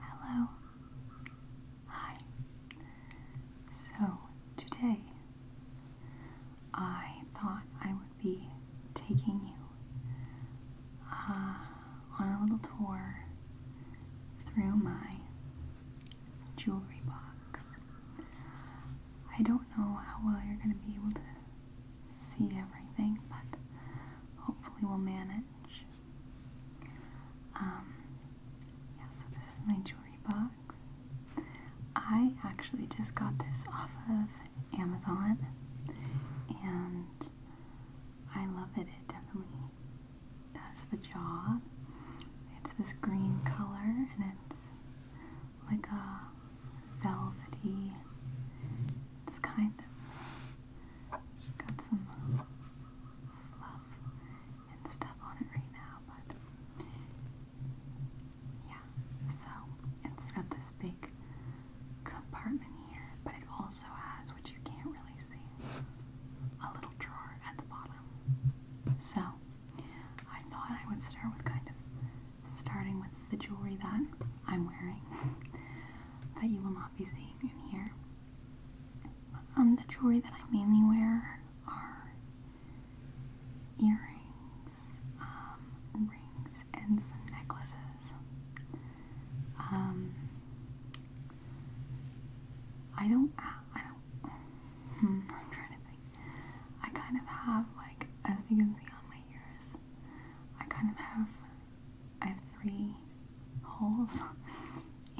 Hello. Hi. So, today I thought I would be taking you uh, on a little tour through my jewelry box. I don't know how well you're going to be able to see everything, but hopefully, we'll manage. Um, yeah, so this is my jewelry box. I actually just got this off of Amazon and I love it. It definitely does the job. It's this green color and it's like a velvety, it's kind of Got some fluff and stuff on it right now, but yeah. So it's got this big compartment here, but it also has, which you can't really see, a little drawer at the bottom. So I thought I would start with kind of starting with the jewelry that I'm wearing that you will not be seeing in here. Um, the jewelry that I mainly wear are earrings, um, rings, and some necklaces. Um, I don't, I don't, hmm, I'm trying to think. I kind of have, like, as you can see on my ears, I kind of have, I have three holes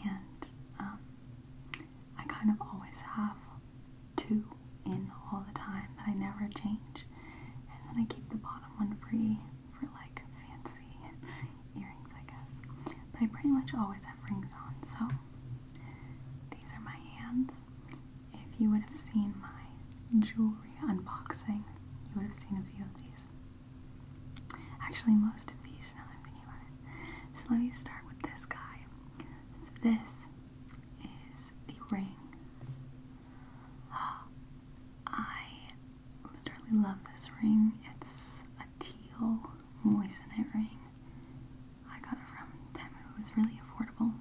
and um, I kind of always have two in all the time that I never change and then I keep the bottom one free for like fancy earrings I guess but I pretty much always have rings on so these are my hands if you would have seen my jewelry unboxing you would have seen a few of these Actually, most of these, now I'm thinking about it. So let me start with this guy. So this is the ring. I literally love this ring. It's a teal moissanite ring. I got it from Temu. It was really affordable.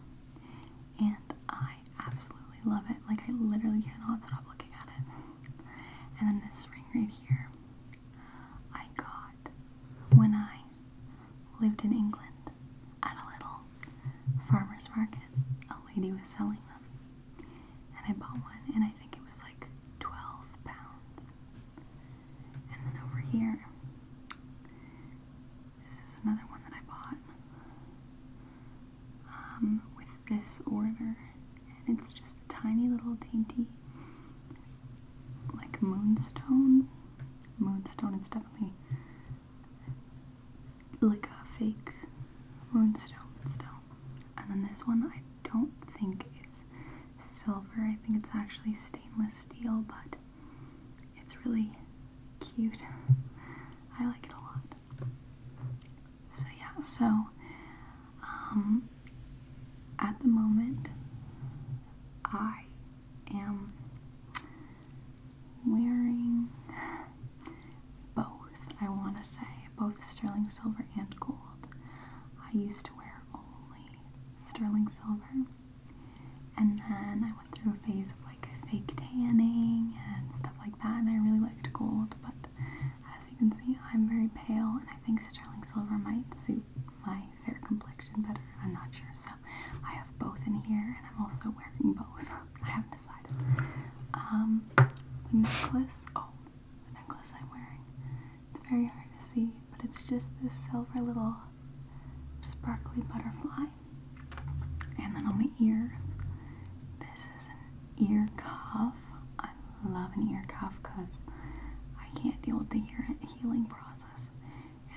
And I I absolutely love it. Like I literally cannot stop looking at it. And then this ring right here I got when I lived in England at a little farmer's market. A lady was selling them. And I bought one and I think it was like 12 pounds. And then over here this is another one that I bought. Um, with this order. And it's just a tiny little dainty, like moonstone. Moonstone, it's definitely like a fake moonstone still. And then this one, I don't think is silver. I think it's actually stainless steel, but it's really cute. I like it a lot. So yeah, so um, at the moment I am wearing both, I want to say, both sterling silver and gold. I used to wear only sterling silver, and then I went through a phase of like fake tanning and stuff like that, and I really liked gold, but as you can see, I'm very pale, and I think sterling silver might suit my fair complexion better. I'm not sure. So I have both in here, and I'm also wearing both. I haven't decided. Um, the necklace. Oh, the necklace I'm wearing. It's very hard to see, but it's just this silver little sparkly butterfly. And then on my ears, this is an ear cuff. I love an ear cuff because I can't deal with the ear healing process.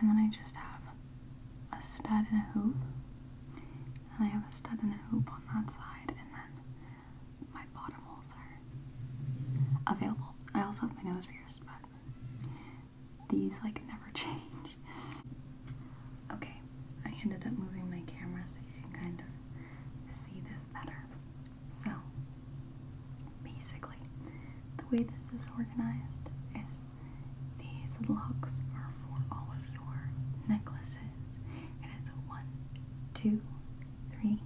And then I just have a stud and a hoop. And I have a stud and a hoop on that side. And then my bottom holes are available. I also have my nose pierced, but these like never change. Okay, I ended up moving my camera so you can kind of see this better. So, basically, the way this is organized is these locks are for all of your necklaces. It is one, two, three,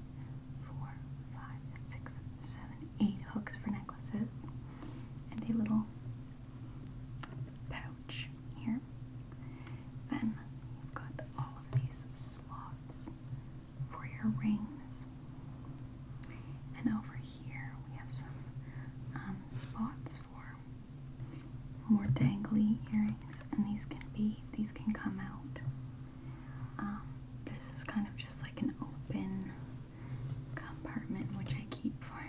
four, five, six, seven, eight hooks for necklaces, and a little pouch here. Then you've got all of these slots for your rings. And over here we have some um, spots for more dangly earrings, and these can be these can come out. Um, this is kind of just like an open compartment, which I keep for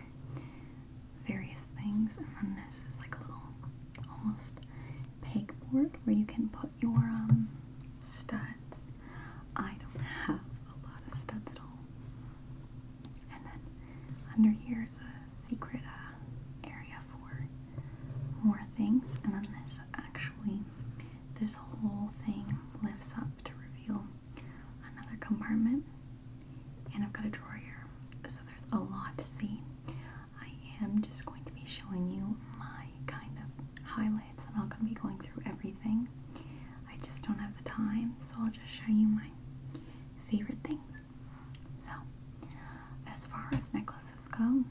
various things. And then this is like a little almost pegboard where you can put your um, studs. I don't have a lot of studs at all. And then under here is a secret uh, area for more things. And then this actually, this whole thing lifts up to reveal another compartment. And I've got a drawer here, so there's a lot to see. I am just going to be showing you my kind of highlights. I'm not going to be going through everything. I just don't have the time, so I'll just show you my favorite things. So, as far as necklaces go,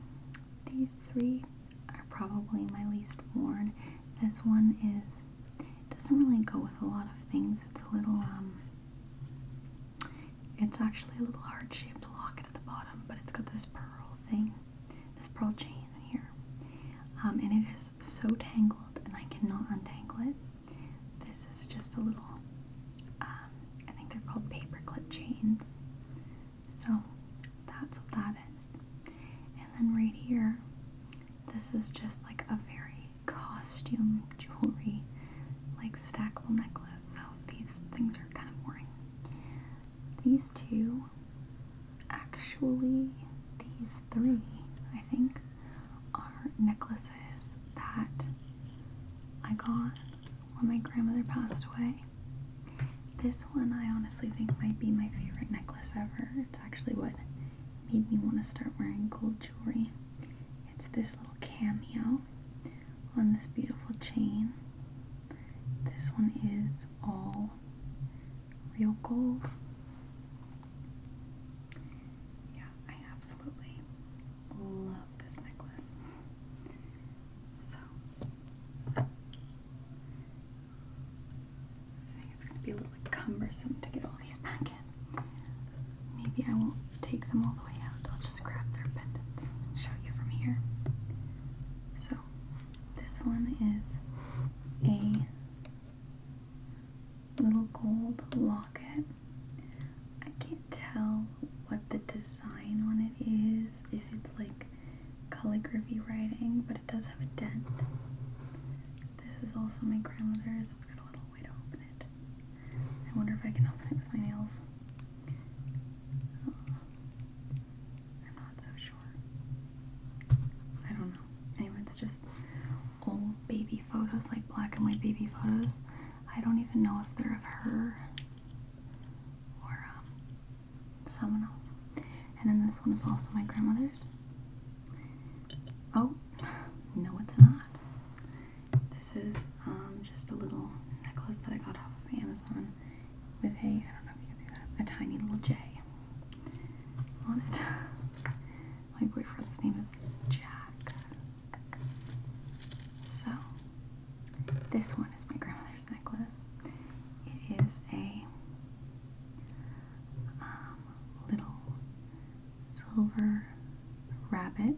these three are probably my least worn. This one is doesn't really go with a lot of things. It's a little um it's actually a little heart shaped locket at the bottom, but it's got this pearl thing, this pearl chain here. Um, and it is so tangled, and I cannot untangle it. This is just a little, um, I think they're called paperclip chains. So that's what that is. And then right here, this is just like a very costume jewelry, like stackable necklace. So these things are kind of boring. These two, actually, these three, I think, are necklaces that I got when my grandmother passed away. This one I honestly think might be my favorite necklace ever. It's actually what made me want to start wearing gold jewelry. It's this little cameo on this beautiful chain. This one is all real gold. Yeah, I absolutely love this necklace. So, I think it's going to be a little like cumbersome to get all these back in. Maybe I won't take them all the way out. I'll just grab their pendants and show you from here. So this one is a little gold locket. I can't tell what the design on it is, if it's like calligraphy writing, but it does have a dent. This is also my grandmother's. It's got a little it. I wonder if I can open it with my nails. I'm not so sure. I don't know. Anyway, it's just old baby photos, like black and white baby photos. I don't even know if they're of her or um, someone else. And then this one is also my grandmother's. Oh, no, it's not. This is um, just a little necklace that I got off of Amazon with a, I don't know a tiny little J on it. My boyfriend's name is Jack. So, this one is my grandmother's necklace. It is a um, little silver rabbit.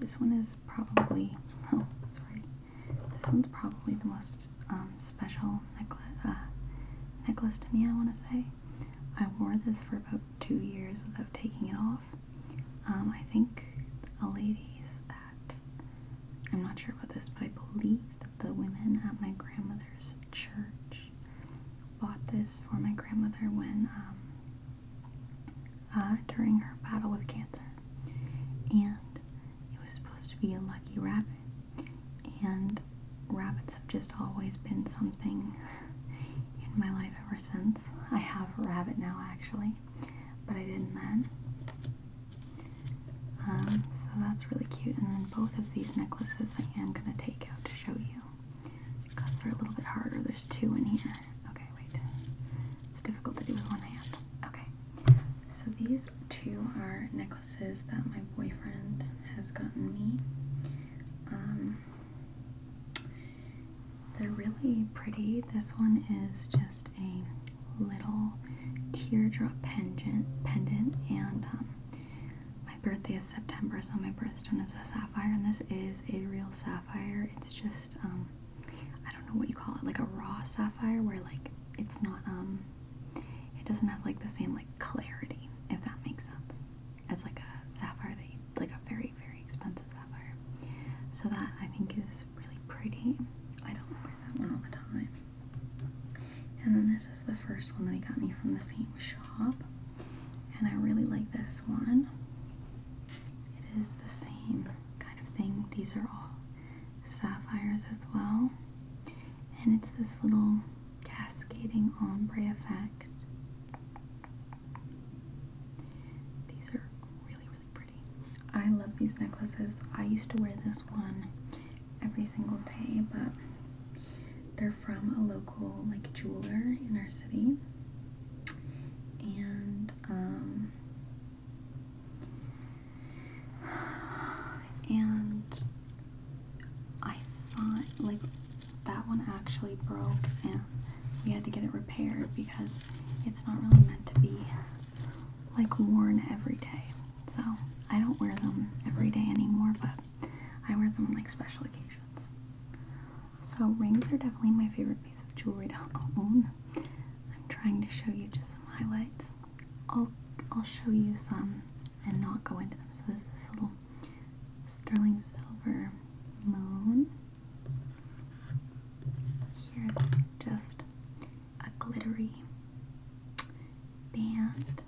This one is probably, oh, sorry. This one's probably the most um, special necklace, uh, necklace to me, I want to say. I wore this for about two years without taking it off. Um, I think a lady's that. I'm not sure about this, but I believe that the women at my grandmother's church Bought this for my grandmother when um, uh, during her battle with cancer, and it was supposed to be a lucky rabbit. And rabbits have just always been something in my life ever since. I have a rabbit now, actually, but I didn't then. Um, so that's really cute. And then both of these necklaces I am going to take out to show you because they're a little bit harder. There's two in here. Okay, wait. It's difficult to do with one hand. Okay. So these two are necklaces that my boyfriend has gotten me. Um, they're really pretty. This one is just a little teardrop pendant, pendant, and um, my birthday is September, so my birthstone is a sapphire, and this is a real sapphire. It's just, um, I don't know what you call it, like a raw sapphire where, like, it's not, um, it doesn't have, like, the same, like, clarity, if that makes sense. It's like a sapphire that like, a very, very expensive sapphire. So that, I think, is really pretty. I don't wear that one all the time. And then this is the first one that he got me from the same shop. And I really like this one. It is the same kind of thing. These are all sapphires as well. And it's this little cascading ombre effect. These are really, really pretty. I love these necklaces. I used to wear this one every single day, but they're from a local like jeweler in our city. And um and I thought like that one actually broke and we had to get it repaired because it's not really meant to be like worn every day. So I don't wear them every day anymore, but I wear them on like special occasions. So rings are definitely my favorite piece of jewelry to own. I'm trying to show you just some highlights. I'll I'll show you some and not go into them. So there's this little sterling silver moon. Here's just a glittery band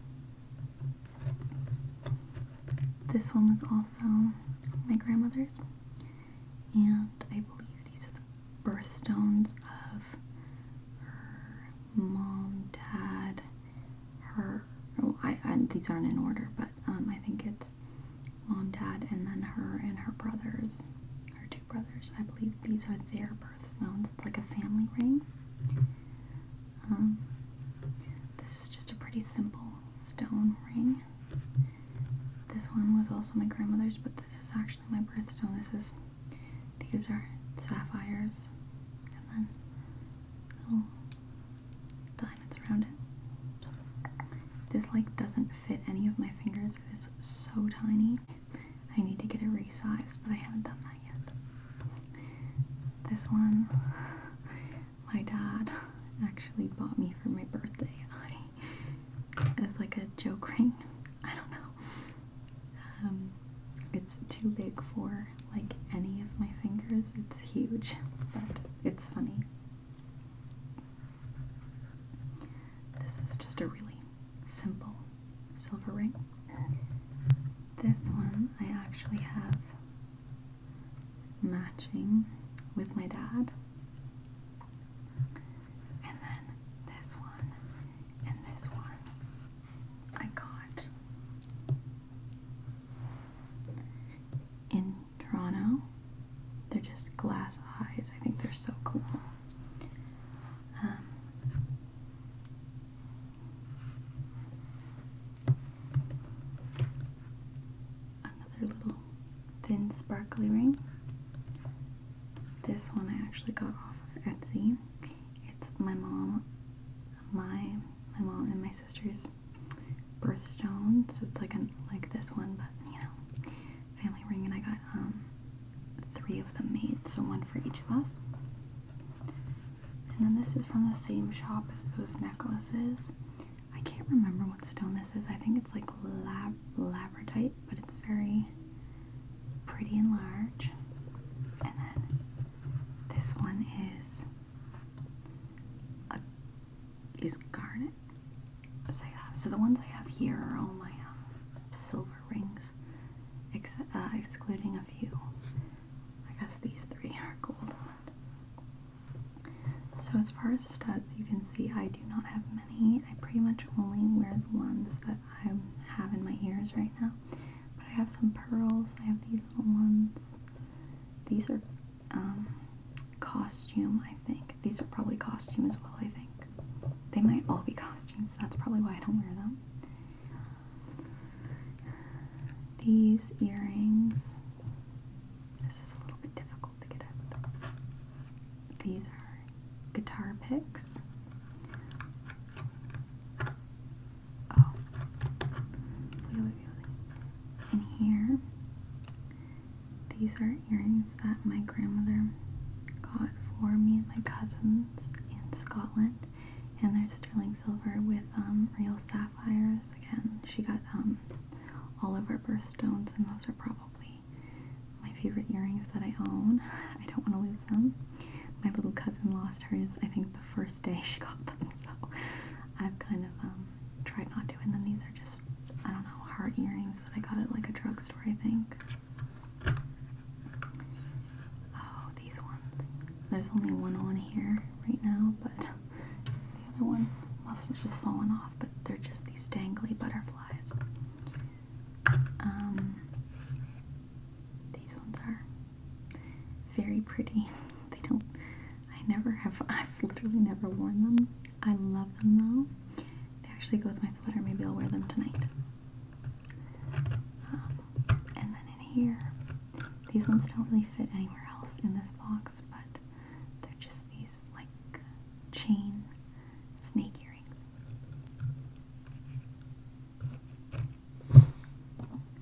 this one was also my grandmother's, and I believe these are the birthstones of her mom, dad, her. Oh, I, these aren't in order, but um, I think it's mom, dad, and then her and her brothers, her two brothers. I believe these are their birthstones. It's like a family ring. Um, this is just a pretty simple stone ring. This one was also my grandmother's, but this is actually my birthstone. This is, these are sapphires, and then little diamonds around it. This like doesn't fit any of my fingers. It is so tiny. I need to get it resized, but I haven't done that yet. This one, my dad actually bought me for my birthday. It's like a joke ring. I don't know. Um, it's too big for like any of my fingers. It's huge, but it's funny. This is just a really simple silver ring. This one I actually have matching with my dad. And then this one and this one I got in Toronto. They're just glass eyes. I think they're so cool. Um, Another little thin sparkly ring. This one I actually got off of Etsy. It's my mom, my my mom and my sister's birthstone, so it's like an like this one, but you know, family ring, and I got um, three of them made, so one for each of us. And then this is from the same shop as those necklaces. I can't remember what stone this is. I think it's like lab labradite, but it's very pretty and large. And then this one is is garnet. So yeah, so the ones I have here are all my um, silver rings, uh, excluding a few. I guess these three are gold. So as far as studs, you can see I do not have many. I pretty much only wear the ones that I have in my ears right now. But I have some pearls. I have these little ones. These are um, costume, I think. These are probably costume as well, I think. They might all be costumes. That's probably why I don't wear them. These earrings, this is a little bit difficult to get out. These are guitar picks. Oh, And here, these are earrings that my grandmother got for me and my cousins in Scotland and there's sterling silver with um, real sapphires. Again, she got um, all of her birthstones, and those are probably my favorite earrings that I own. I don't want to lose them. My little cousin lost hers, I think, the first day she got them, so I've kind of um, tried not to. And then these are just, I don't know, heart earrings that I got at like a drugstore, I think. Oh, these ones. There's only one on here right now, but the other one must have just fallen off, but they're just these dangly butterflies. Um, these ones are very pretty. They don't, I never have, I've literally never worn them. I love them though. They actually go with my sweater. Maybe I'll wear them tonight. Um, and then in here, these ones don't really fit anywhere else in this box, but they're just these like chain snake earrings.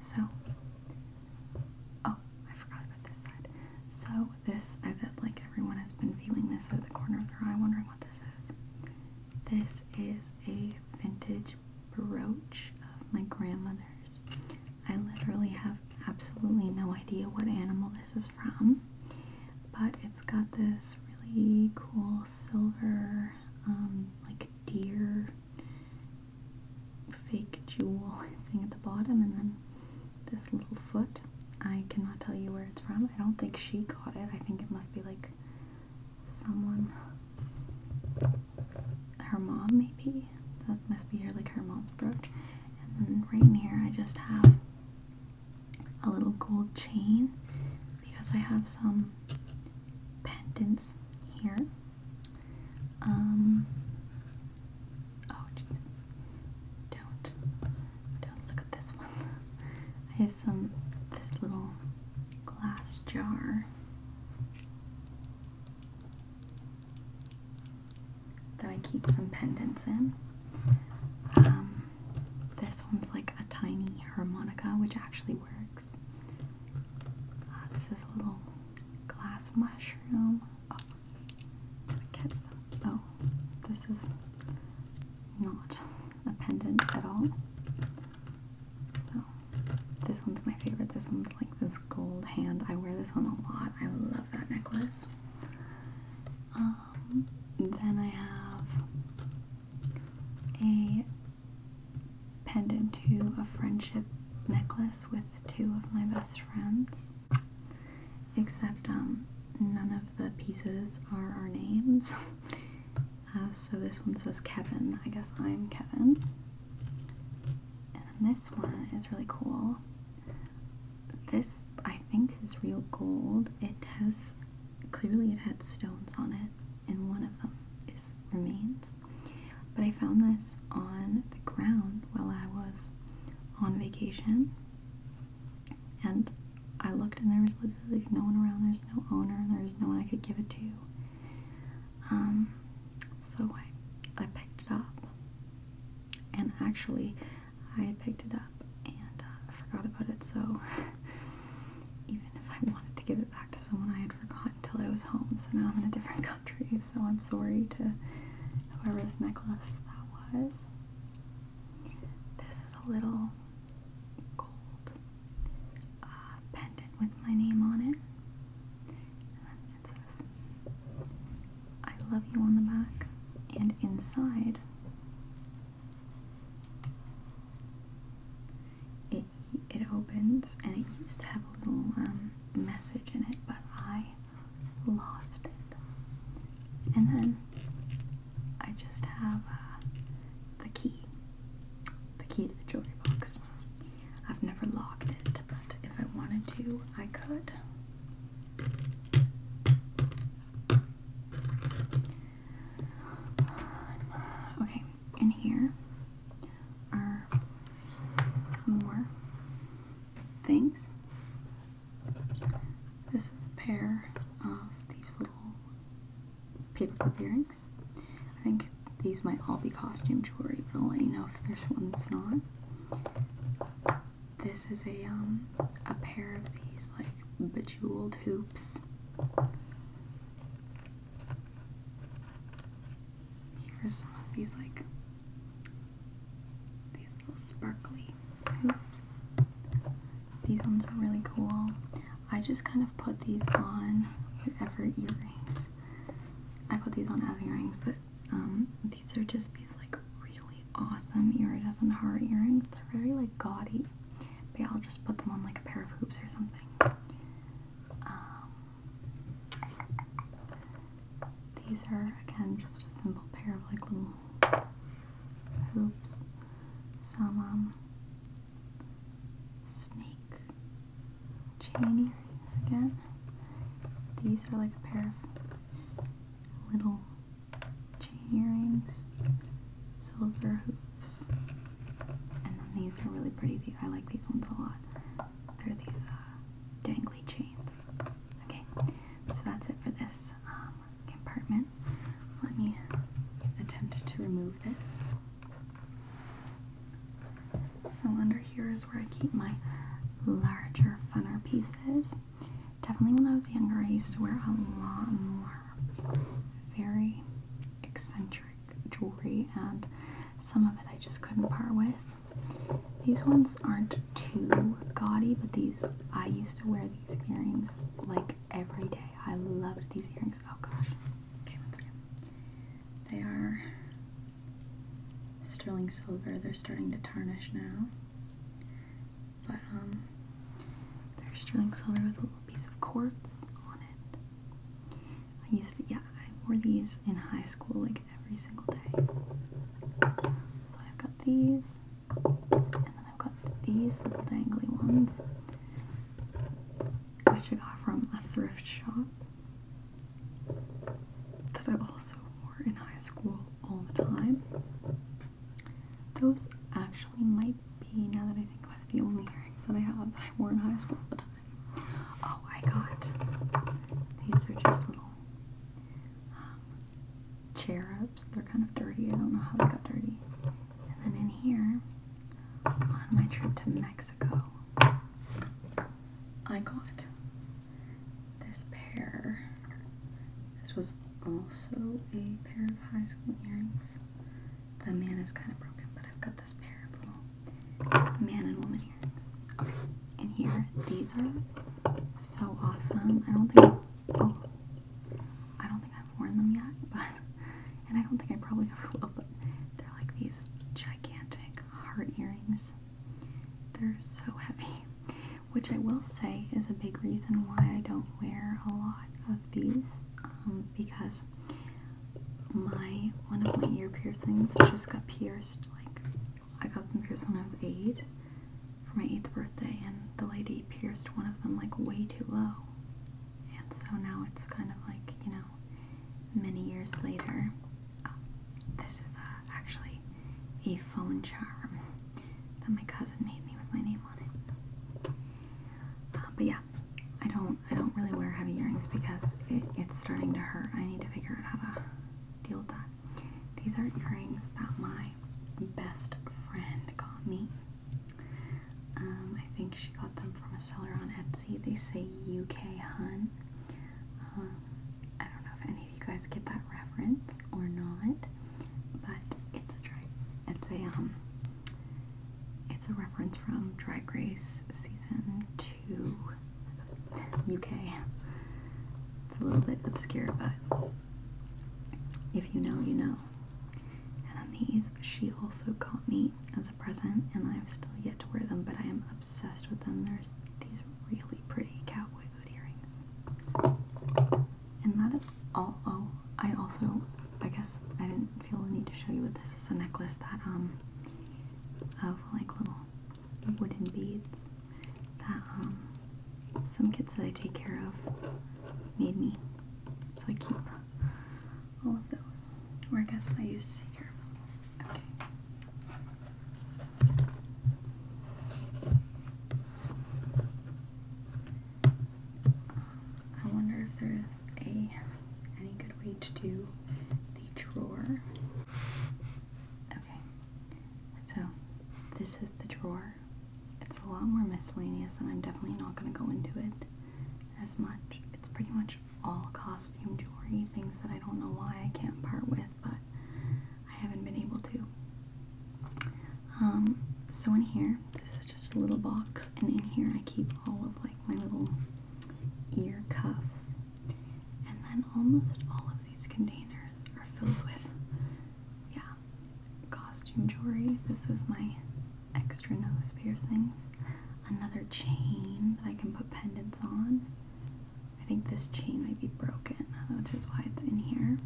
So, oh, I forgot about this side. So, this, I bet like everyone has been feeling this out of the corner of their eye, wondering what this is. This is a vintage brooch of my grandmother's. I literally have absolutely no idea what animal this is from, but it's got this really cool silver, um, like deer fake jewel thing at the bottom, and then this little foot. I cannot tell you where it's from. I don't think she got it. I think it must be like someone. Her mom, maybe? That must be her, like her mom's brooch. And then right here, I just have a little gold chain because I have some pendants here. Um, oh, jeez. Don't, don't look at this one. I have some, this little glass jar that I keep some pendants in. Um, this one's like a tiny harmonica, which actually works. Uh, this is a little glass mushroom. Oh, catch that? Oh, this is not a pendant at all. So this one's my favorite. This one's like this gold hand. I wear this one a lot. I love that necklace. Um, then I have a pendant to a friendship necklace with two of my best friends. Except um, none of the pieces are our names. Uh, so this one says Kevin. I guess I'm Kevin. And this one is really cool. This, I think, is real gold. It has, clearly it had stones on it, and one of them is remains. But I found this on the ground while I was on vacation. And I looked and there was literally no one around, there's no owner, there's no one I could give it to. Um, so I, I picked it up, and actually, I picked it up and uh, forgot about it. So even if I wanted to give it back to someone, I had forgotten until I was home. So now I'm in a different country. So I'm sorry to whoever this necklace that was. This is a little gold uh, pendant with my name on it. it says, I love you on the back. And inside, it, it opens and it used to have a little um, message in it, but I lost it. And then I just have uh, the key. The key to the jewelry box. I've never locked it, but if I wanted to, I could. Okay, and here are some more things. This is a pair of these little paperclip earrings. I think these might all be costume jewelry, but I'll let you know if there's one that's not. This is a um, a pair of these like bejeweled hoops. Here's some of these like these little sparkly hoops. These ones are really cool. I just kind of put these on whatever earrings. I put these on as earrings, but um, these are just these like really awesome iridescent heart earrings. They're very like gaudy. But I'll just put them on like a pair of hoops or something. Um, these are again just a simple pair of like little hoops. Some um, snake chain earrings again. These are like a pair of little chain earrings, silver hoops, and then these are really pretty. I like these ones a lot. They're these uh, dangly chains. Okay, so that's it for this. Um, compartment. Let me attempt to remove this. So under here is where I keep my larger, funner pieces. Definitely when I was younger, I used to wear a lot more very eccentric jewelry, and some of it I just couldn't part with. These ones aren't too gaudy, but these I used to wear these earrings like every day. I loved these earrings. Oh gosh. Okay, once again. They are sterling silver. They're starting to tarnish now. But um they're sterling silver with a little piece of quartz on it. I used to yeah, I wore these in high school like every single day. So I've got these. And then I've got these little dangly ones, which I got from a thrift shop that I also wore in high school all the time. Those actually might be, now that I think about it, the only earrings that I have that I wore in high school all the time. Oh, I got these are just little um, they're kind of dirty. I don't know how they got dirty. And then in here, on my trip to Mexico, I got this pair. This was also a pair of high school earrings. The man is kind of broken, but I've got this pair of little man and woman earrings. Okay, and here, these are so awesome. I don't think I don't think I've worn them yet, but and I don't think I probably ever will, but they're like these gigantic heart earrings. They're so heavy, which I will say is a big reason why I don't wear a lot of these um, because my one of my ear piercings just got pierced. Like I got them pierced when I was eight for my eighth birthday, and the lady pierced one of them like way too low, and so now it's kind of like, you know, many years later. Um, this is uh, actually a phone charm that my cousin made me with my name on it. Uh, but yeah, I don't I don't really wear heavy earrings because it's starting to hurt. I need to figure out how to deal with that. These are earrings that my best friend got me um, I think she got them from a seller on Etsy. They say UK Hun. Um, I don't know if any of you guys get that reference or not, but it's a dry, it's a um, it's a reference from Dry Grace season two UK. It's a little bit obscure, but if you know, you know. And these she also got me as a present, and I've still yet to wear them, but I am obsessed with them. There's these really pretty cowboy boot earrings. And that is all. Oh, I also, I guess I didn't feel the need to show you what this is a necklace that, um, of like little wooden beads that, um, some kids that I take care of made me. So I keep all of those. Or I guess I used to take care of them. Okay. I wonder if there's a any good way to do the drawer. Okay, so this is the drawer it's a lot more miscellaneous, and I'm definitely not going to go into it as much. It's pretty much all costume jewelry, things that I don't know why I can't part with, but I haven't been able to. Um, so in here, this is just a little box, and in here I keep all of like my little ear cuffs, and then almost all of these containers are filled with, yeah, costume jewelry. This is my extra nose piercings. Another chain that I can put pendants on. I think this chain might be broken, which is why it's in here.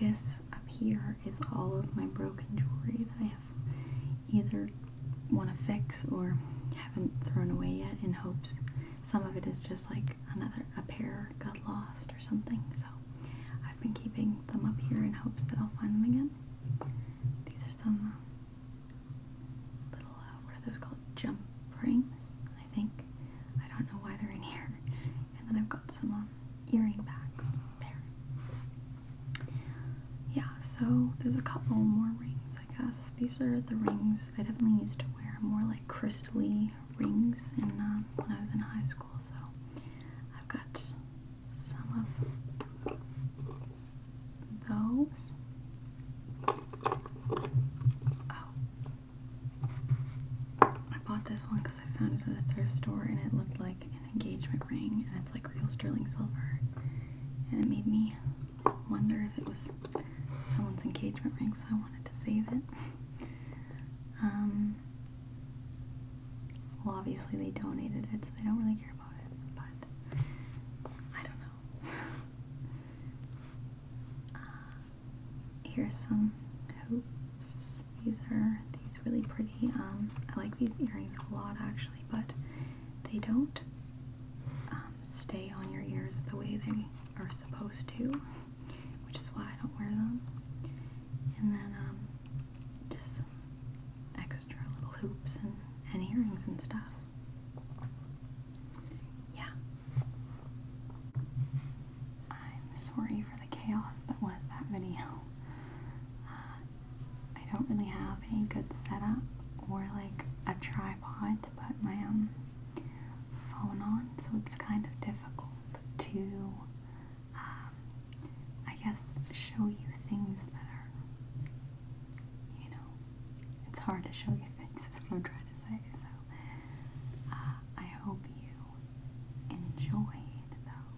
This up here is all of my broken jewelry that I have either want to fix or haven't thrown away yet in hopes some of it is just like another a pair got lost or something so I've been keeping them up here in hopes that I'll find them again. These are some uh, little, uh, what are those called? Jump rings, I think. I don't know why they're in here. And then I've got some um, earring backs. there. Yeah, so there's a couple more rings, I guess. These are the rings I definitely used to wear more like crystally rings in, uh, when I was in high school so I've got some of those. Oh. I bought this one because I found it at a thrift store and it looked like an engagement ring and it's like real sterling silver. And it made me wonder if it was someone's engagement ring, so I wanted to save it. Um, well, obviously they donated it, so they don't really care about it, but I don't know. Uh, here's some hoops. These are these really pretty. Um, I like these earrings a lot actually, but they don't um, stay on your ears the way they are supposed to, which is why I don't wear them and then um, just extra little hoops and, and earrings and stuff. Yeah. I'm sorry for the chaos that was that video. Uh, I don't really have a good setup or like a tripod to put my um, phone on, so it's kind of difficult to, um, I guess, show you things that are, you know, it's hard to show you things, is what I'm trying to say. So, uh, I hope you enjoyed, though.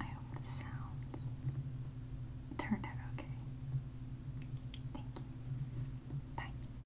I hope the sounds turned out okay. Thank you. Bye.